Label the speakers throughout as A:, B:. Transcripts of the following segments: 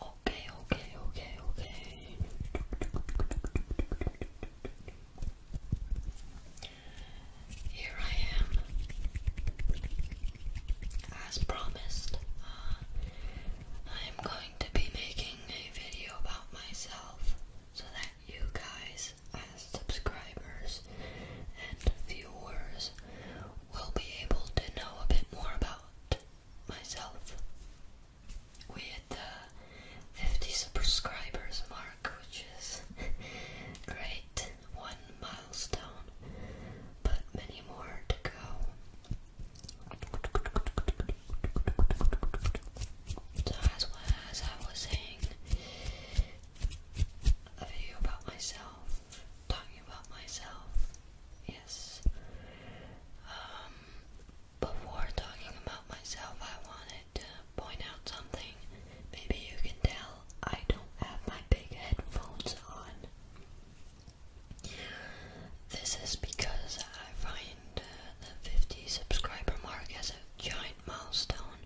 A: Okay, okay, okay, okay. Here I am, as promised. Uh, I am going to be making a video about myself so that you guys, as subscribers and viewers, will be able to know a bit more about myself. We the 50 subscribers mark, which is great, one milestone, but many more to go. So, as well as I was saying, a video about myself, talking about myself, Yes. Um, before talking about myself, I wanted to point out something. Maybe you can tell I don't have my big headphones on. This is because I find uh, the 50 subscriber mark as a giant milestone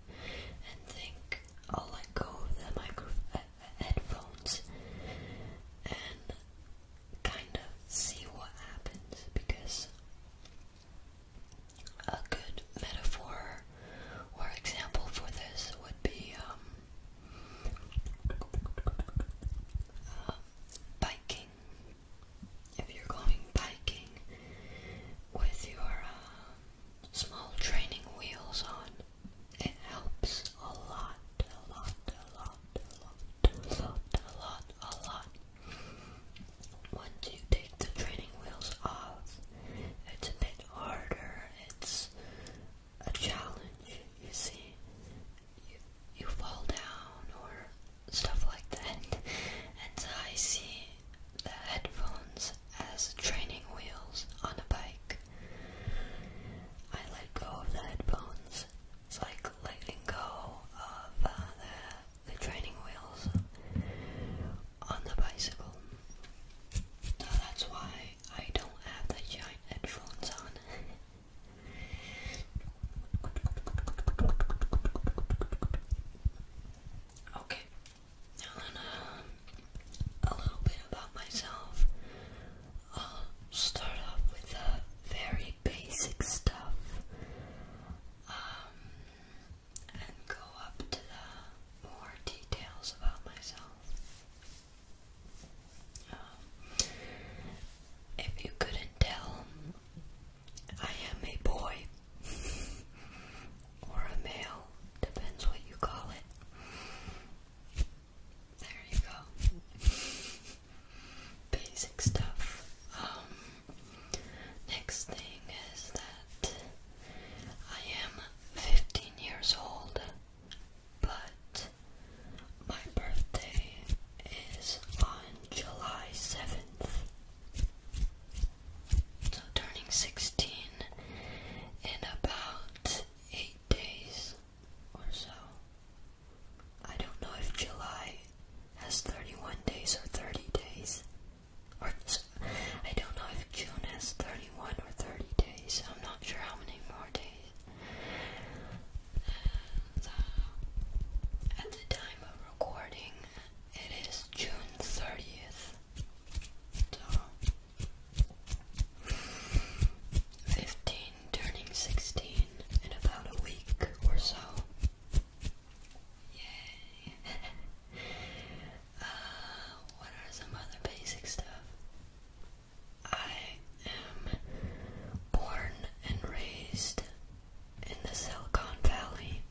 A: and think I'll let go of the micro uh, headphones and kind of see what happens because a good metaphor or example for this would be um, uh, biking. If you're going biking with your uh, small training wheels on, it helps a lot, a lot, a lot, a lot, a lot, a lot, a lot. Once you take the training wheels off, it's a bit harder. It's a challenge, you see. You, you fall down or stuff like that. And I see the headphones as training wheels on a bike. I let go of the headphones. like letting go of uh, the, the training wheels on the bicycle. So that's why I don't have the giant headphones on. okay, now a little bit about myself. I'll start off with the very basic stuff um, and go up to the more details about myself. Um, if you couldn't tell, I am a boy or a male, depends what you call it. There you go. Basic stuff. Um, next thing is that I am 15 years old, but my birthday is on July 7th. So turning 16 in about 8 days or so. I don't know if July has 31 days or 30 days. Or I don't know if June has 31 or 30 days. I'm not sure how many more days. Uh, at the time of recording, it is June 30th. 15, turning 16 in about a week or so. Yay! uh, what are some other basic stuff? I am born and raised in the Silicon Valley,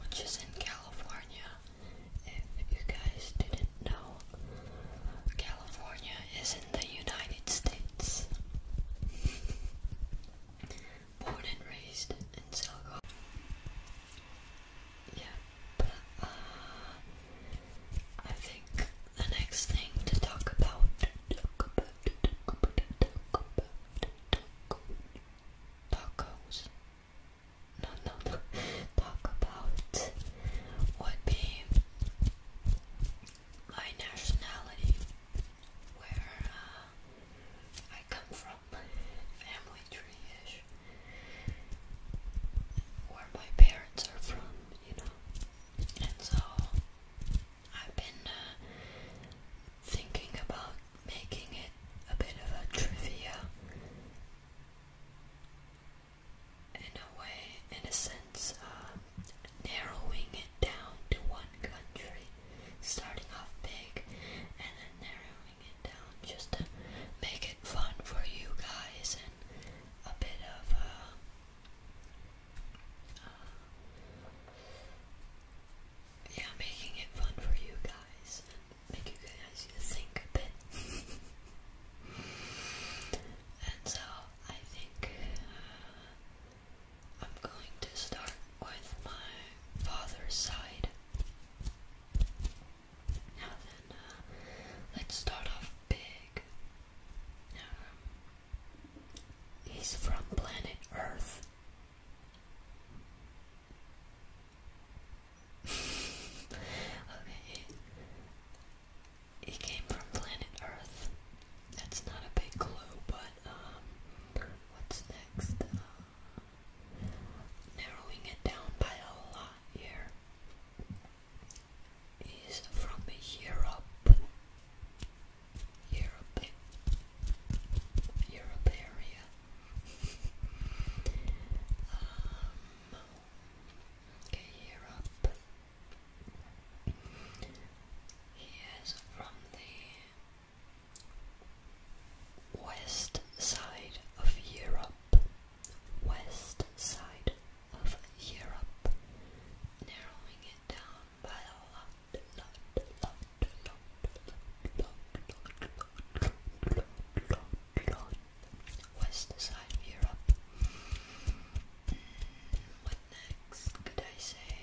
A: which is in California if you guys didn't know, California is in the United States. Born and raised in Silicon Yeah, but uh, I think the next thing to talk about, talk about, talk about, talk about, talk about tacos no, no, no, talk about would be my nationality, where uh, I come from, family tree-ish, where my parents are from, you know, and so I've been uh, thinking about making it a bit of a trivia in a way, in a sense, uh, narrowing it down to one country, starting off big and then narrowing it down just to make it fun for you guys and a bit of a uh, uh, yeah, making it fun for you guys make you guys think a bit. and so I think uh, I'm going to start with my father's side. Now then, uh, let's start off big. he's from planet Earth okay. He came from planet Earth. That's not a big clue, but um, what's next? Uh, narrowing it down by a lot here. He's from Europe. Europe. Europe area. Um, from the west side of Europe. West side of Europe. Narrowing it down by a lot, western side of Europe. what next could I say?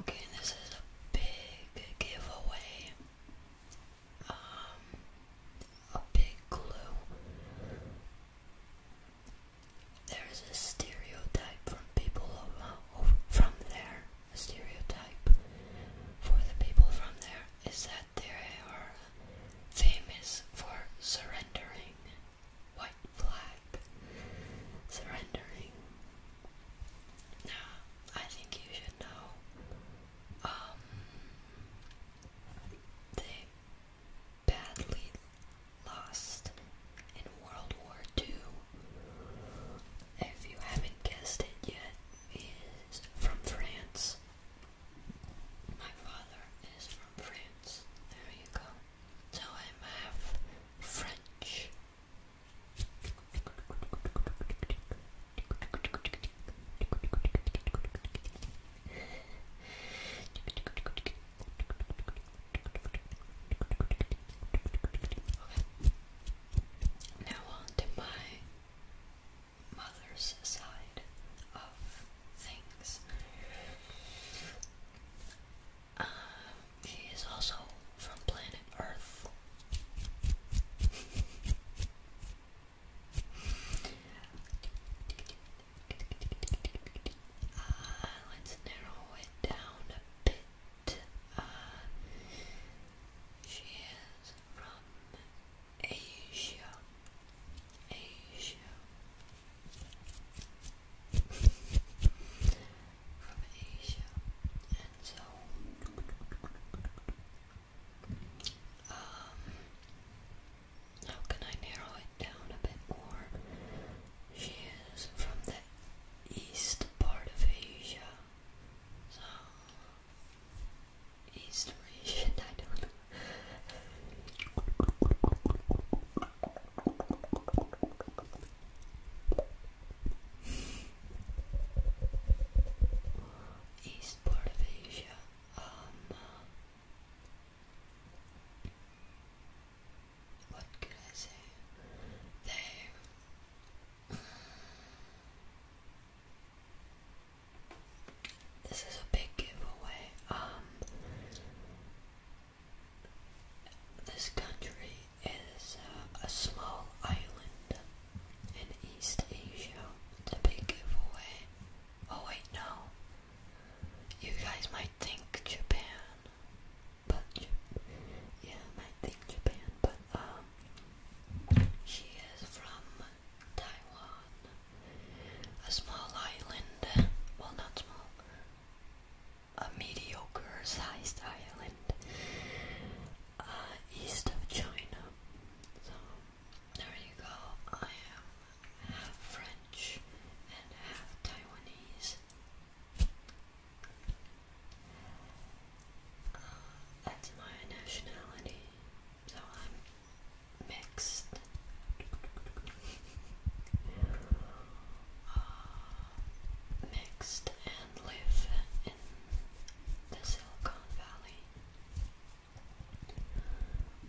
A: Okay, this is a big giveaway. Um, a big clue. There is a stereotype from people from there a stereotype for the people from there is that they are famous for surrendering. White flag. Surrendering. Now, I think you should know. Um, they badly lost in World War II if you haven't guessed it yet, is from France. My father is from France. There you go. So I'm half French. Now on to my mother's side of things. Um, she is also from planet Earth. Uh, let's narrow it down a bit. Uh, she is from Asia. Asia. from Asia. And so um how can I narrow it down a bit more? She is from the east part of Asia. East history I don't know. East part of Asia, um, what could I say? They this is a big giveaway. Um this country is uh, a small island in East Asia. It's a big giveaway. Oh wait, no. You guys might think Japan, but yeah, might think Japan, but um, she is from Taiwan, a small island, well, not small, a mediocre sized island uh, east of China. So, there you go. I am half French and half Taiwanese. That's my nationality, so I'm mixed. Uh, mixed and live in the Silicon Valley.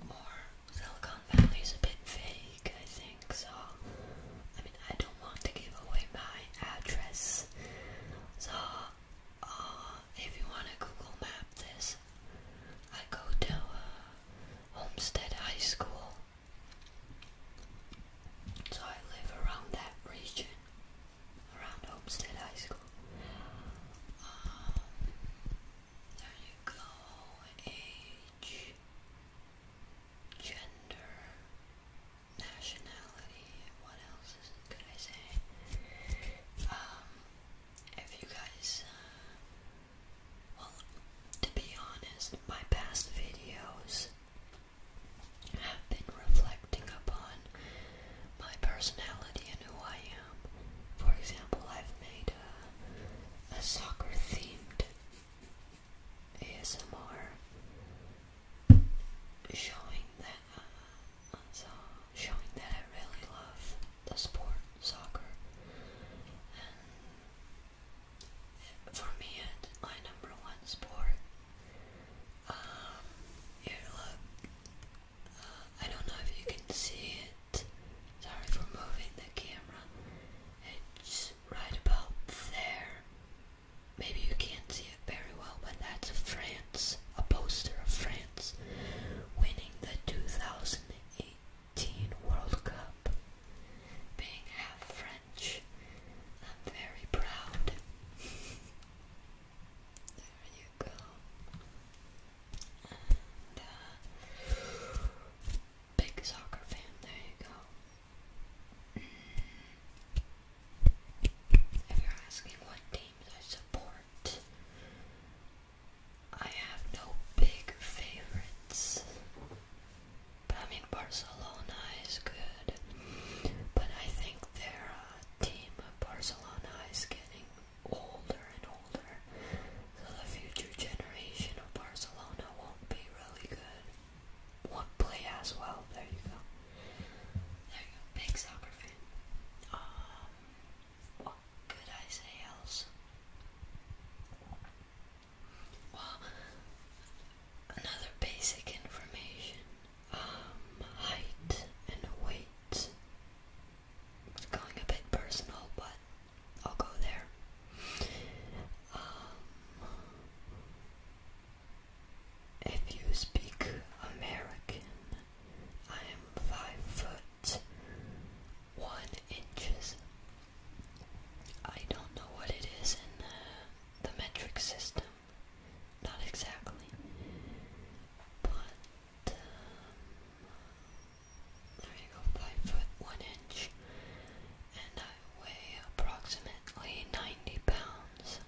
A: Or Silicon Valley is a bit vague, I think. So, I mean, I don't want to give away my address. So, uh, if you want to Google Map this, I go to uh, Homestead High School. So I live around that region, around Homestead High School. Um, there you go, age, gender, nationality. What else could I say? Um, if you guys, uh, well, to be honest, my past videos have been reflecting upon my personality and who I am. For example, I've made a, a soccer themed ASMR showing that uh, so showing that I really love the sport soccer, and for me, it's my number one sport. Um, here, look. Uh, I don't know if you can see it. Sorry for moving the camera. It's right about there. Maybe you can't see it very well, but that's France, a poster of France winning the 2018 World Cup. Being half French, I'm very proud. there you go. And, uh, big soccer fan, there you go. If you're asking what teams I support, I have no big favorites. But I mean, Barcelona is good, but I think their uh, team, Barcelona, is getting older and older, so the future generation of Barcelona won't be really good one player as well. There you go. There you go. Big soccer fan. Um, what could I say else? Well, another basic information. Um, height and weight. It's going a bit personal, but I'll go there. Um, if you speak American, I am five foot one inches. I don't know what it is in the, metric system, not exactly, but um, there you go, five foot one inch, and I weigh approximately 90 pounds.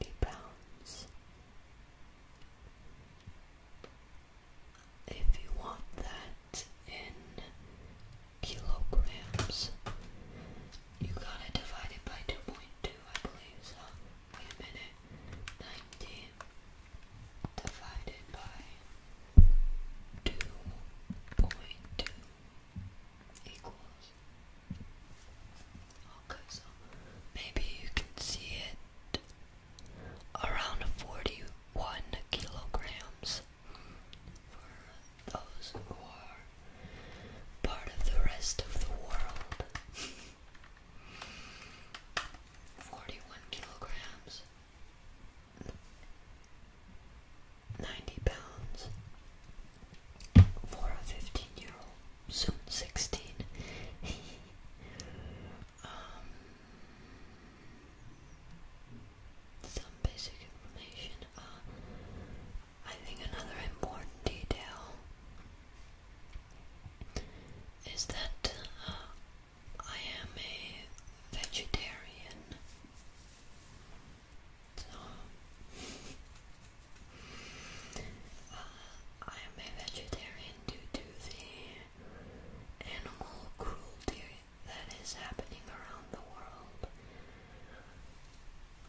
A: 90 pounds. If you want that in kilograms, you gotta divide it by 2.2, I believe. wait a minute. 90 divided by 2.2 equals Okay, so maybe you can see it around 41 kilograms for those who are part of the rest of the world. 41 kilograms. 90 pounds for a 15 year old, soon 16. um, some basic information. Uh, I think another important detail is that uh, I am a vegetarian uh, I am a vegetarian due to the animal cruelty that is happening around the world,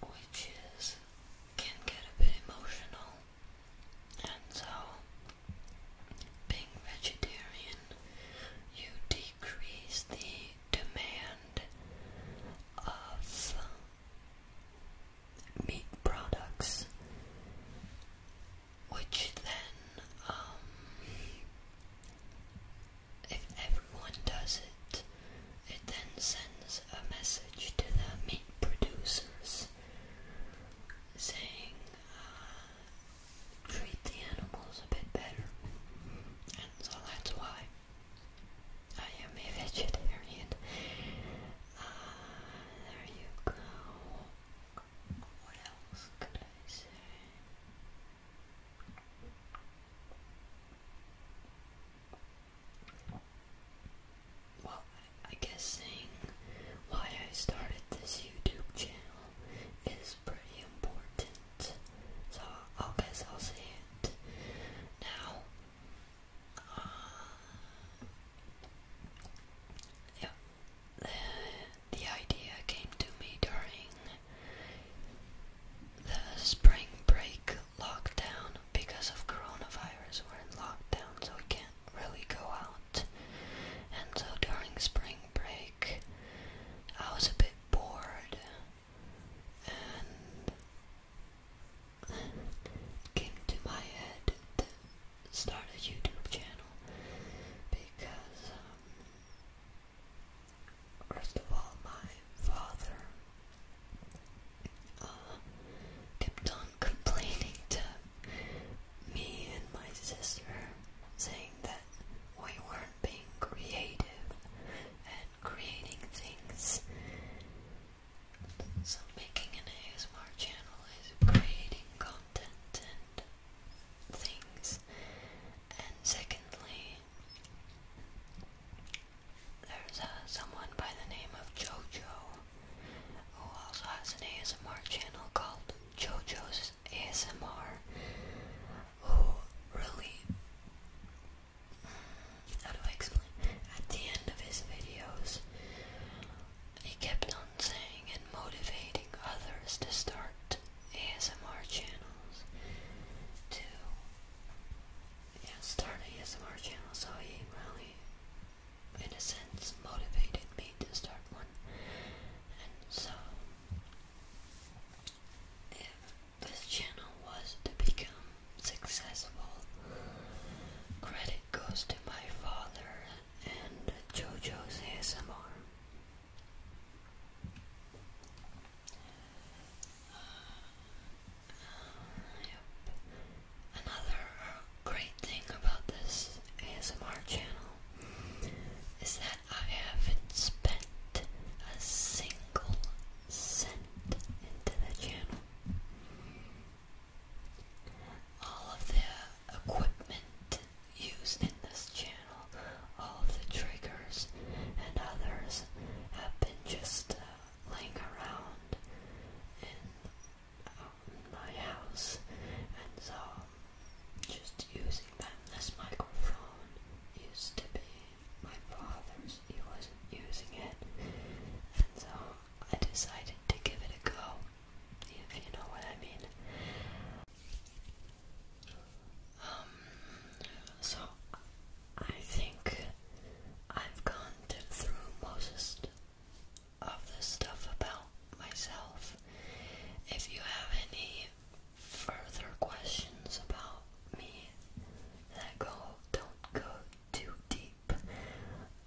A: which is can get a bit emotional, and so being vegetarian, you decrease the demand of meat products, which then, um, if everyone does it, it then sends a message to the meat producers saying, uh, treat the animals a bit better. And so that's why Oh, I am a vegetarian. there you go. What else could I say? Well, I guess saying why I started this YouTube channel is pretty important, so I guess I'll say it now. Yeah. the idea came to me during the spring break lockdown because of coronavirus. We're in lockdown, so we can't really go out. And so during spring break, I was a bit bored and came to my head to start a YouTube channel because, um, first of all, my father uh, kept on complaining to me and my sister, saying that we weren't being creative creating things. So making an ASMR channel is creating content and things. And secondly, there's uh, someone by the name of Jojo who also has an ASMR channel called Jojo's ASMR who really how do I explain? At the end of his videos, he kept on saying and motivating others to start ASMR channels to start an ASMR channel. So he really, in a sense, motivated me to start one. And so, this channel was to become successful. Credit goes to my father and JoJo's ASMR. Uh, Another uh, great thing about this ASMR channel is that I haven't spent a single sent into the channel. All of the equipment used in this channel, all the triggers and others have been just uh, laying around in um, my house, and so um, just using them. This microphone used to be my father's, he wasn't using it, and so I decided to give it a go, if you know what I mean. Um, so I think I've gone through most of the stuff about myself. If you have any further questions about me that go don't go too deep.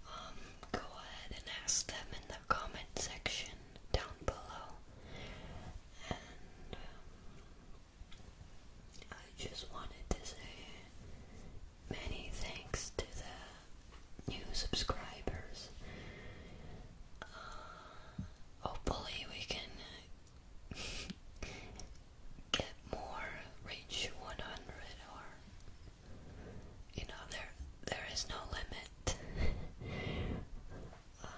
A: Um, go ahead and ask them in the comment section down below. And um, I just wanted to say many thanks to the new subscribers. Uh, hopefully, we can get more reach 100 or you know there there is no limit um,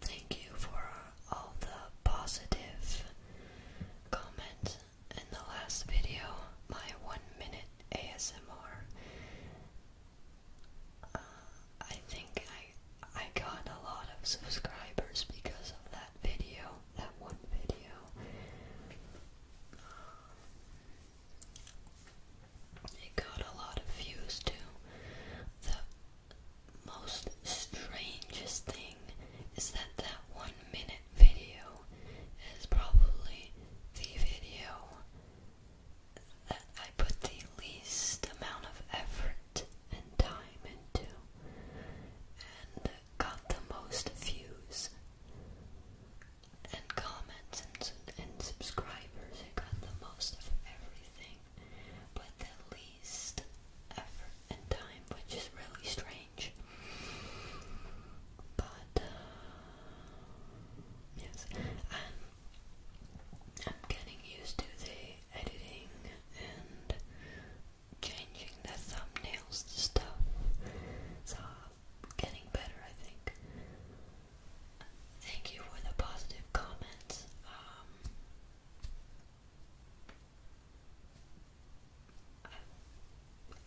A: thank you for all the positive comments in the last video my one minute ASMR uh, I think I I got a lot of subscribers because of that video, that one video. It got a lot of views too. The most strangest thing is that that one minute video is probably the video that I put the least amount of effort and time into and got the most views and comments and, subscribers and got the most of everything but the least effort and time which is really strange but uh, yes I'm getting used to the editing and changing the thumbnails to stuff. So getting better, I think. Thank you for the positive comments. Um,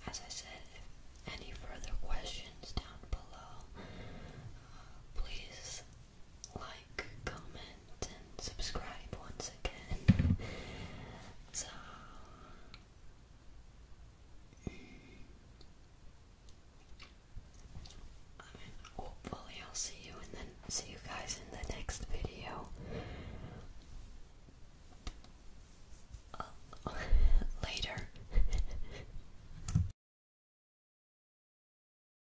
A: as I said, if any further questions down below, uh, please like, comment, and subscribe once again. So, hopefully, I'll see you and then see you guys in the next video. later.